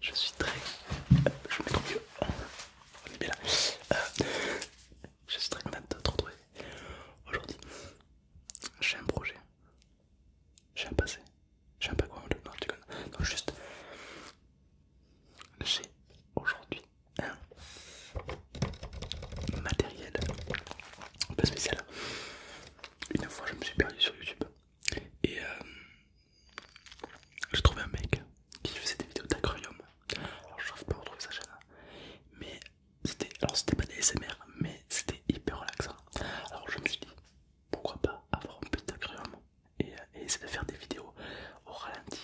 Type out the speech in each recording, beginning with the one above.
Je suis très... Je me trouve mieux. On est là. Euh, je suis très content de te retrouver. Aujourd'hui, j'ai un projet. J'ai un passé. J'ai un pas quoi. Non, tu connais. Non, juste... J'ai aujourd'hui un matériel un peu spécial. Une fois, je me suis perdu sur YouTube. Et euh, j'ai trouvé un mec qui faisait des vidéos d'aquarium. Alors je ne pas retrouver sa chaîne. Hein. Mais c'était, alors c'était pas des SMR, mais c'était hyper relaxant. Hein. Alors je me suis dit, pourquoi pas avoir un petit aquarium et, euh, et essayer de faire des vidéos au ralenti,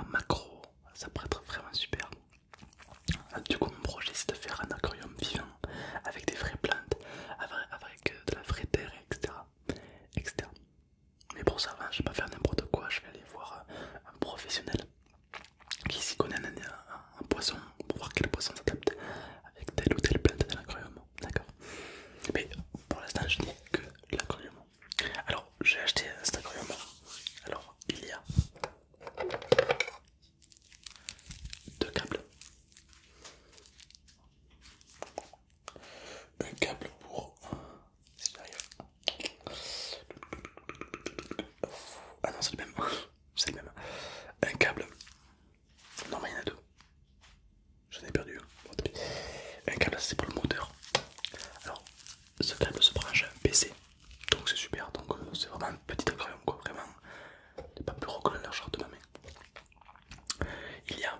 en macro. Ça pourrait être vraiment super. Du coup, mon projet c'est de faire un aquarium vivant avec des vraies plantes, avec euh, de la vraie terre, etc. Mais pour ça, hein, je vais pas faire n'importe quoi, je vais aller voir euh, un professionnel qui s'y connaît un, poisson pour voir quel poisson s'adapte avec telle ou telle plante dans D'accord Mais pour l'instant, je n'ai que l'aquarium. Alors, j'ai acheté cet aquarium. Alors, il y a deux câbles. Un câble pour... Si ah non, c'est le même. C'est le même. Un câble. Non, mais il y en a deux. J'en ai perdu. Un un câble, c'est pour le moteur. Alors, ce câble se branche à PC. Donc c'est super. Donc euh, c'est vraiment un petit aquarium, quoi. Vraiment pas plus recollé de ma main. Il y a,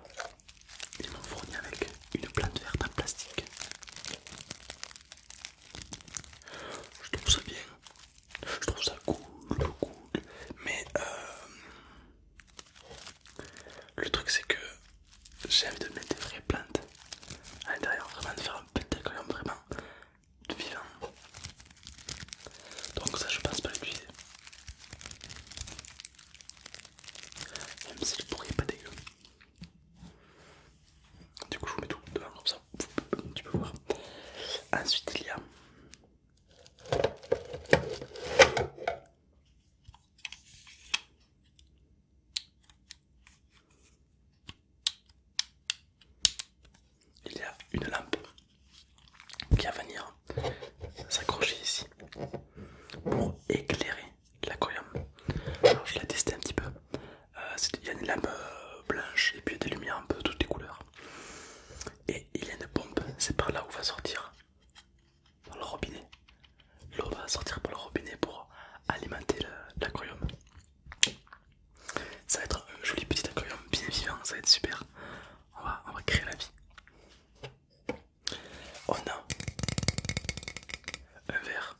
ils m'ont fourni avec une plante verte en plastique. Je trouve ça bien, je trouve ça cool, cool, mais euh, le truc c'est que j'ai envie de mettre des vraies plantes à l'intérieur, vraiment de faire un petit aquarium vraiment de vivant. Donc ça je pense pas l'utiliser. Même si le bruit est pas dégueu. Du coup je vous mets tout devant comme ça, tu peux voir. Ensuite il y a il y a une lampe qui va venir s'accrocher ici pour éclairer l'aquarium. Alors je l'ai testé un petit peu. Euh, il y a une lampe euh, blanche et puis des lumières un peu toutes les couleurs. Et il y a une pompe, c'est par là où va sortir le robinet. L'eau va sortir par le robinet pour alimenter l'aquarium. Ça va être un joli petit aquarium bien vivant, ça va être super. On va, créer la vie. On a un verre.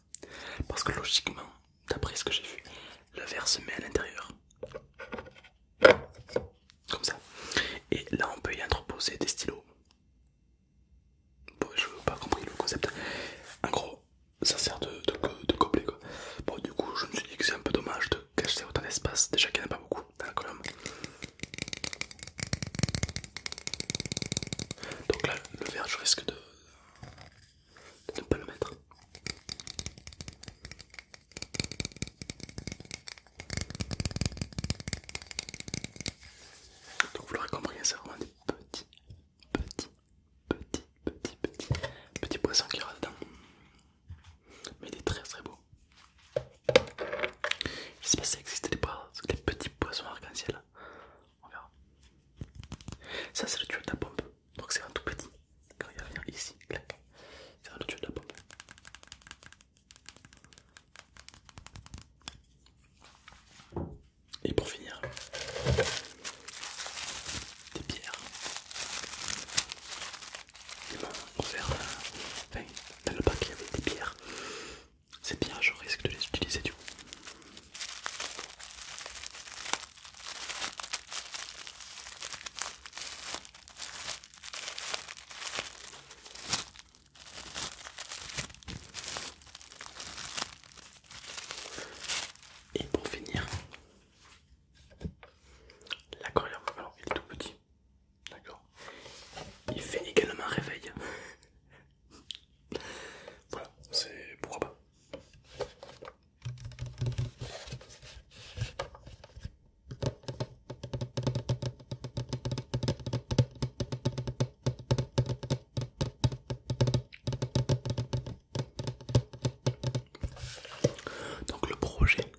Parce que logiquement, d'après ce que j'ai vu, le verre se met à l'intérieur. Comme ça. Et là, on peut y entreposer des stylos. Bon, je n'ai pas compris le concept. En gros, ça sert de, de, gobelet quoi. Bon, du coup, je me suis dit que c'est un peu dommage de cacher autant d'espace, déjà qu'il n'y en a pas beaucoup dans la colonne. Donc là, le verre, je risque de, ne pas le mettre. Donc vous l'aurez compris, hein, c'est vraiment des petits, petits, petits, petits, petits, petits poissons qui aura dedans mais il est très très beau. Je sais pas si existait des, des petits poissons arc-en-ciel. On verra. Ça c'est le tuyau de la pompe. Donc c'est un tout petit. Quand il va venir ici, C'est le tuyau de la pompe. Et pour finir, des pierres. Ils m'ont ouvert le bac il y avait des pierres Ces pierres je risque de les utiliser du coup. Et pour finir, L'aquarium, alors il est tout petit, d'accord Il fait également un réveil. voilà, c'est pourquoi pas. Donc le projet,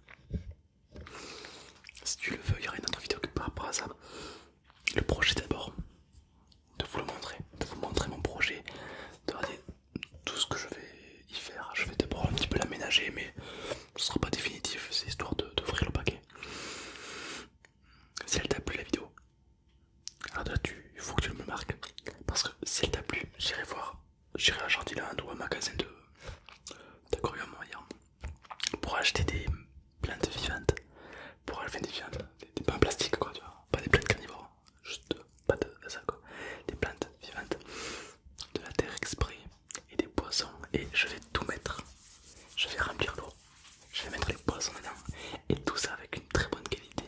si tu le veux, il y aura une autre vidéo que par rapport à ça. Le projet d'abord, de vous le montrer, de vous montrer mon projet, de regarder tout ce que je vais y faire. Je vais d'abord un petit peu l'aménager, mais ce sera pas définitif, c'est histoire d'ouvrir de, le paquet. Si elle t'a plu la vidéo, alors là tu il faut que tu me marques. Parce que si elle t'a plu, j'irai voir. J'irai à Jardiland ou à un magasin de moyens pour acheter des plantes vivantes. Pour acheter des plantes, des en plastiques quoi, tu Pas des plantes carnivores, juste pas de ça quoi. Des plantes vivantes, de la terre exprès et des poissons. Et je vais tout mettre. Je vais remplir l'eau. Je vais mettre les poissons dedans. Et tout ça avec une très bonne qualité.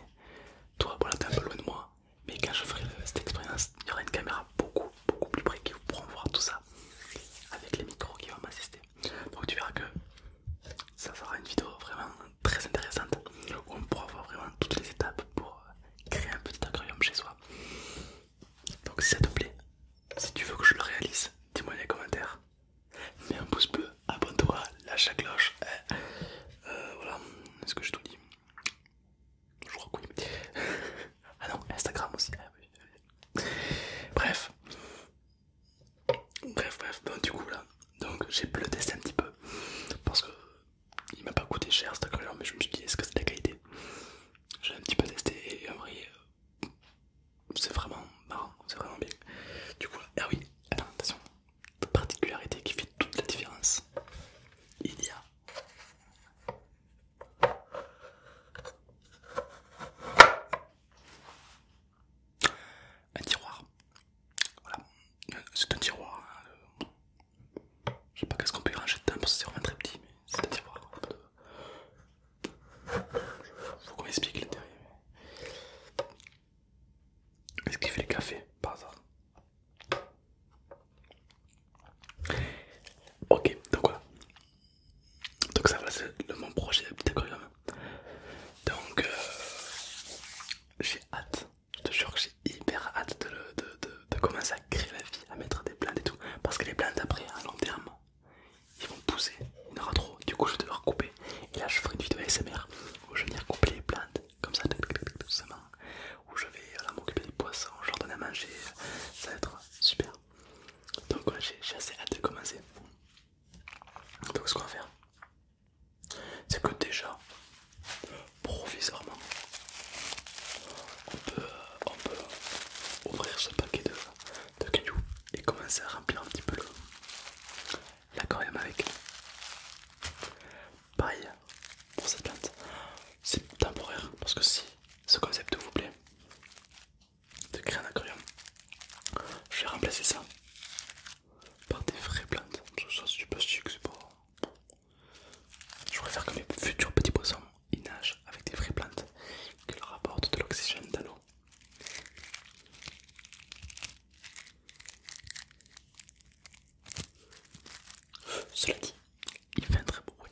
Toi, voilà, t'es un peu loin de moi mais quand je ferai cette expérience, il y aura une caméra beaucoup beaucoup plus près qui vous pourront voir tout ça avec les micros qui vont m'assister. Donc tu verras que ça sera une vidéo vraiment très intéressante où on pourra voir vraiment toutes les étapes pour euh, créer un petit aquarium chez soi. Donc si ça te plaît, si tu veux que je le réalise, dis-moi dans les commentaires. Mets un pouce bleu, abonne-toi, lâche la cloche. Hein. Euh, voilà, est-ce que j'ai tout dit Je crois que oui. ah non, Instagram aussi. Ah bref. Bref, bref, bon, du coup là, donc j'ai pu le un petit peu parce que il m'a pas coûté cher couleur, mais je me suis dit est-ce que c'est de la qualité J'ai un petit peu testé et en vrai, euh, c'est vraiment marrant, c'est vraiment bien. Du coup, ah oui, attends, attention, de particularité qui fait toute la différence. Il y a un tiroir. Voilà, c'est un tiroir. Je sais pas qu'est-ce qu'on peut y ranger dedans parce que c'est vraiment très petit, mais c'est un tiroir. Faut qu'on m'explique l'intérieur est-ce qu'il fait le café par hasard Ok, donc voilà. Donc ça va, c'est mon projet petit Donc euh, j'ai hâte, je te jure que j'ai hyper hâte de, commencer à créer la vie, à mettre des plantes et tout. Parce que les plantes après, à long terme, ils vont pousser, il y en aura trop, du coup je vais devoir couper. Et là je ferai une vidéo ASMR où je vais venir couper les plantes comme ça, tout où je vais euh, m'occuper des poissons, je leur donne à manger, ça va être euh, super. Donc voilà, j'ai assez hâte de commencer. Donc ce qu'on va faire, c'est que déjà, provisoirement, on peut, euh, on peut ouvrir ce paquet de, de cailloux et commencer à remplir un petit peu le, l'aquarium avec. Pareil pour cette plante, c'est temporaire parce que si ce concept vous plaît de créer un aquarium, je vais remplacer ça par des vraies plantes. Je c'est du plastique, c'est pas. Je préfère que mes futurs petits poissons ils nagent avec des vraies plantes qui leur apportent de l'oxygène dans l'eau. Cela dit, il fait un très beau bruit.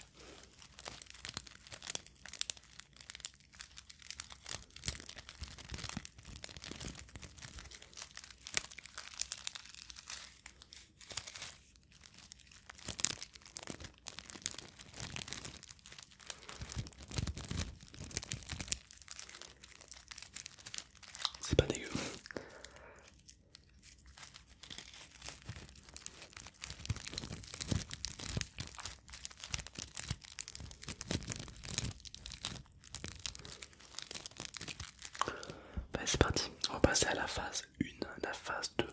C'est pas dégueu. Bah, c'est parti, on va passer à la phase 1, la phase 2,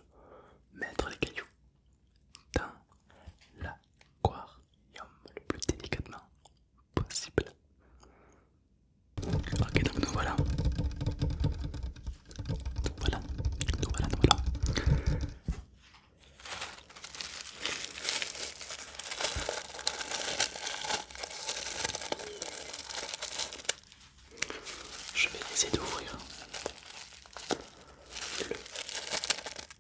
mettre les cailloux dans l'aquarium le plus délicatement possible. Ok, donc nous voilà. Nous voilà, voilà, nous voilà. Je vais essayer d'ouvrir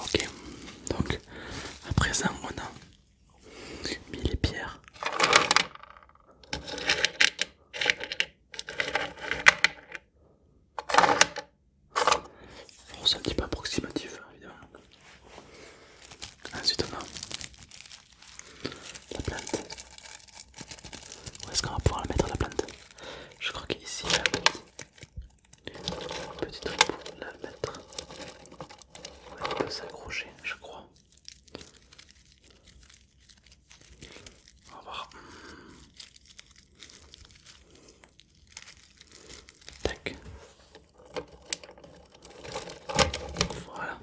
Ok, donc à présent on a mis les pierres on c'est un petit peu approximatif, hein, évidemment. Ensuite, on a la plante. Où est-ce qu'on va pouvoir la mettre, la plante Je crois qu'ici, il y a un petit truc pour la mettre. Ouais, on peut s'accrocher, je crois. On voir. Voilà.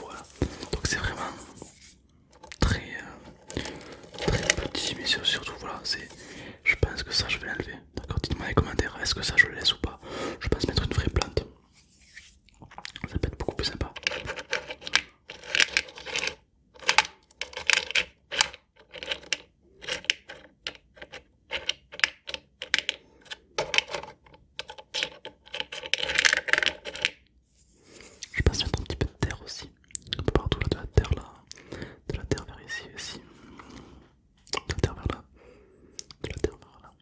Voilà. Donc c'est vraiment très euh, très petit mais surtout voilà, c'est je pense que ça je vais l'enlever. D'accord, dites-moi dans les commentaires, est-ce que ça je le laisse ou pas Je pense mettre une vraie plante. Ça peut être beaucoup plus sympa. Je passe un petit peu de terre aussi, un peu partout de la terre là, de la terre vers ici, aussi de la terre vers là, de la terre vers là,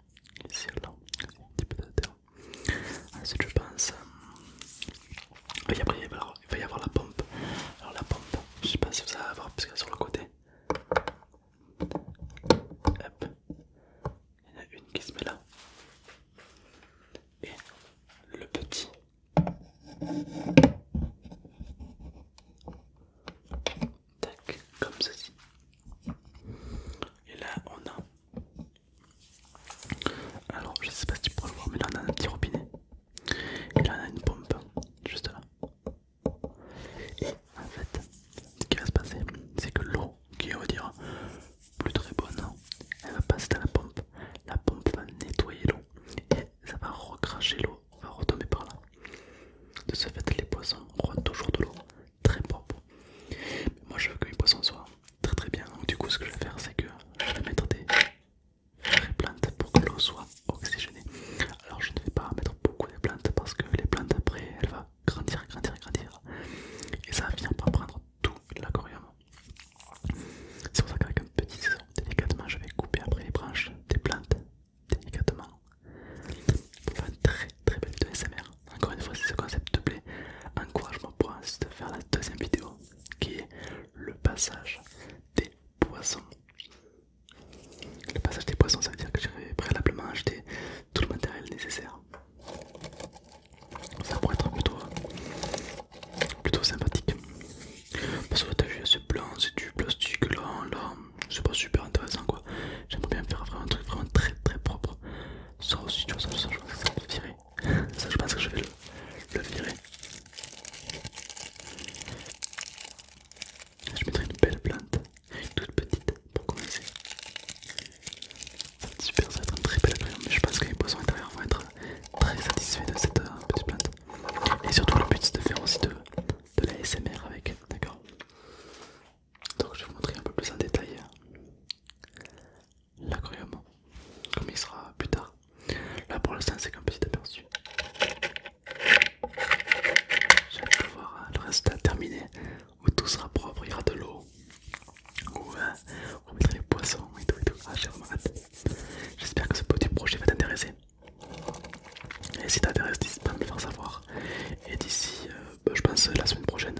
ici là, un petit peu de terre. Ensuite je pense, et euh, après il va, y avoir, y avoir la pompe. Alors la pompe, je sais pas si vous allez la voir parce qu'elle est sur le côté. Hop. Il y en a une qui se met là. Et le petit tac, comme ceci. Et là, on a. Alors, je sais pas si tu pourras le voir, mais là, on a un petit robinet. Et là, on a une pompe, juste là. Et en fait, ce qui va se passer, c'est que l'eau qui est, on va dire, plus très bonne, elle va passer dans la pompe. La pompe va nettoyer l'eau et ça va recracher l'eau. va retomber par là. De ce fait, les poissons auront toujours de l'eau très propre. moi, je veux que mes poissons soient très très bien. Donc, du coup, ce que je vais faire, c'est que je vais mettre des plantes pour que l'eau soit oxygénée. Alors, je ne vais pas mettre beaucoup de plantes parce que les plantes, après, elles vont grandir, grandir, grandir. Et ça vient par prendre tout l'aquarium. C'est pour ça qu'avec un petit ciseau, délicatement, je vais couper après les branches des plantes délicatement pour faire une très très belle vidéo SMR. Encore une fois, si ce concept te plaît, encourage-moi pour te faire la deuxième vidéo qui est le passage des poissons. Le passage des poissons, ça veut dire que j'irai préalablement acheté tout le matériel nécessaire. Ça pourrait être plutôt, plutôt sympathique. Parce que tu vu, c'est blanc, c'est du plastique, là, là, c'est pas super intéressant quoi. J'aimerais bien faire vraiment un truc vraiment très très propre. Ça aussi, tu vois, ça, je pense que ça vais le virer. Ça, je pense que je vais le, virer. Je mettrai une belle plante, toute petite pour commencer. Ça va être super, ça va être un très bel appareil mais je pense que les poissons intérieurs vont être très satisfaits de cette euh, petite plante. Et surtout, le but c'est de faire aussi de, de la SMR avec, d'accord Donc je vais vous montrer un peu plus en détail euh, l'aquarium, comme il sera plus tard. Là pour l'instant c'est qu'un petit aperçu. J'ai voir euh, le résultat terminé, où tout sera propre, il y aura de l'eau, où euh, on mettra les poissons et tout et tout. Ah j'ai J'espère que ce petit projet va t'intéresser. Et si t'intéresses, dis pas à me le faire savoir. Et d'ici, euh, bah, je pense euh, la semaine prochaine,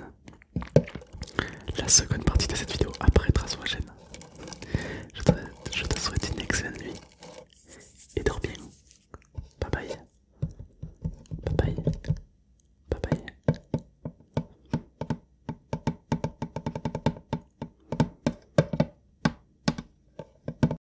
la seconde partie de cette vidéo après Trace ma chaîne. Je te, je te souhaite une excellente nuit et dors bien. Bye bye. Bye bye. Bye bye.